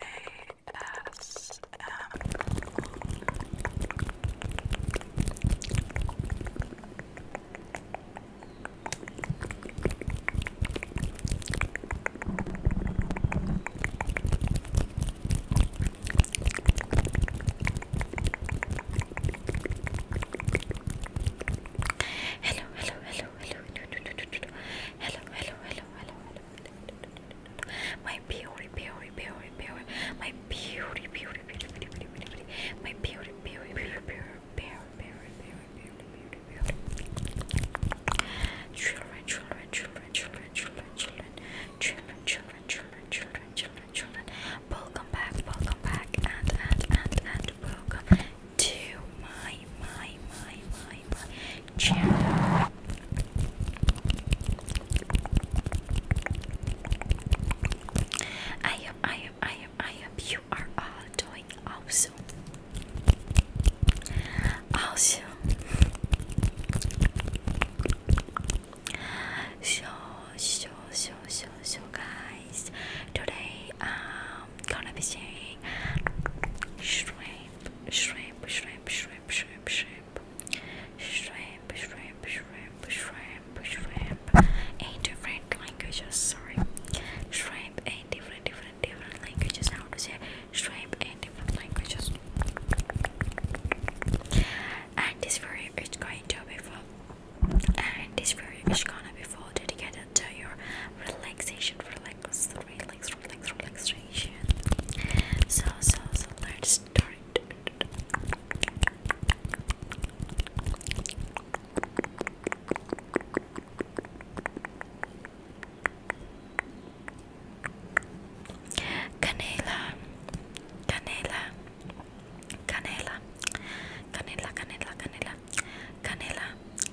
ASMR. Hello, hello, hello, hello, hello, hello, hello, hello, hello, hello, hello, hello, hello, hello. My beauty, beauty, beauty, beauty, my beauty, beauty, beauty, beauty, beauty, beauty, my beauty, beauty, beauty, beauty, beauty, beauty, beauty, beauty, children, children, children, children, children, children, children, children, children, children, children, children. Welcome back, welcome back, and and and and welcome to my my my my, my channel. I am I am I am I am you are all doing awesome. Awesome. So so so so so guys today um gonna be saying shrimp, shrimp, shrimp, shrimp, shrimp, shrimp, shrimp, shrimp, shrimp, shrimp, shrimp, eight different languages. Sorry, shrimp, eight different, different, different languages. How to say shrimp in different languages? And this video is going to be full. And this video is gonna be full together to your relaxation, relax, relax, relax, relaxation. So, so, so let's start. Canela, canela, canela, canela, canela, canela, canela,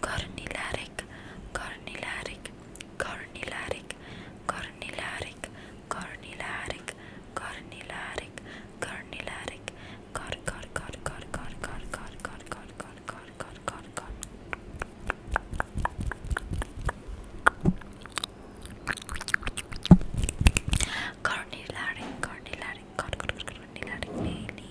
cornilaric, cornilaric, cornilaric, cornilaric, cornilaric, cornilaric, cornilaric, cor cor cor cor cor cor cor cor cor cor cor cor cor cor cornilaric, cornilaric, cornilaric, cornilaric,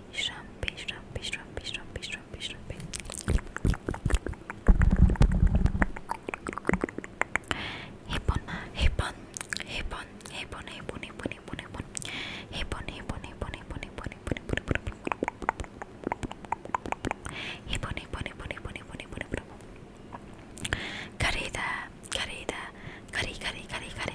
Shrumpy, shrumpy, shrumpy, shrumpy, shrumpy, shrumpy. Hippon, hippon, hippon, hippon, hippon, hippon, hippon, hippon, hippon, hippon, hippon, hippon, hippon, hippon, hippon, hippon, hippon, Carida, carida, cari, cari, cari, cari.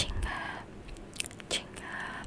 Chinga, chinga,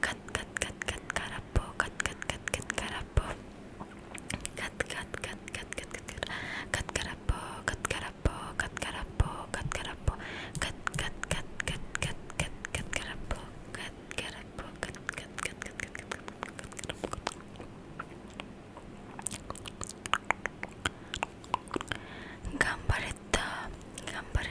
cut cut cut cut karapo cut cut cut cut karapo cut cut cut cut cut cut cut karapo cut karapo cut karapo cut karapo cut cut cut cut cut cut cut karapo cut karapo cut cut cut cut cut cut cut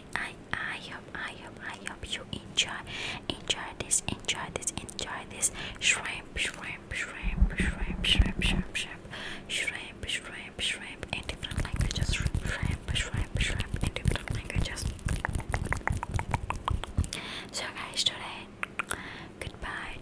I I I hope I hope I hope you enjoy enjoy this enjoy this enjoy this shrimp shrimp shrimp shrimp shrimp shrimp shrimp shrimp shrimp shrimp in different languages shrimp shrimp shrimp shrimp in different languages So guys today goodbye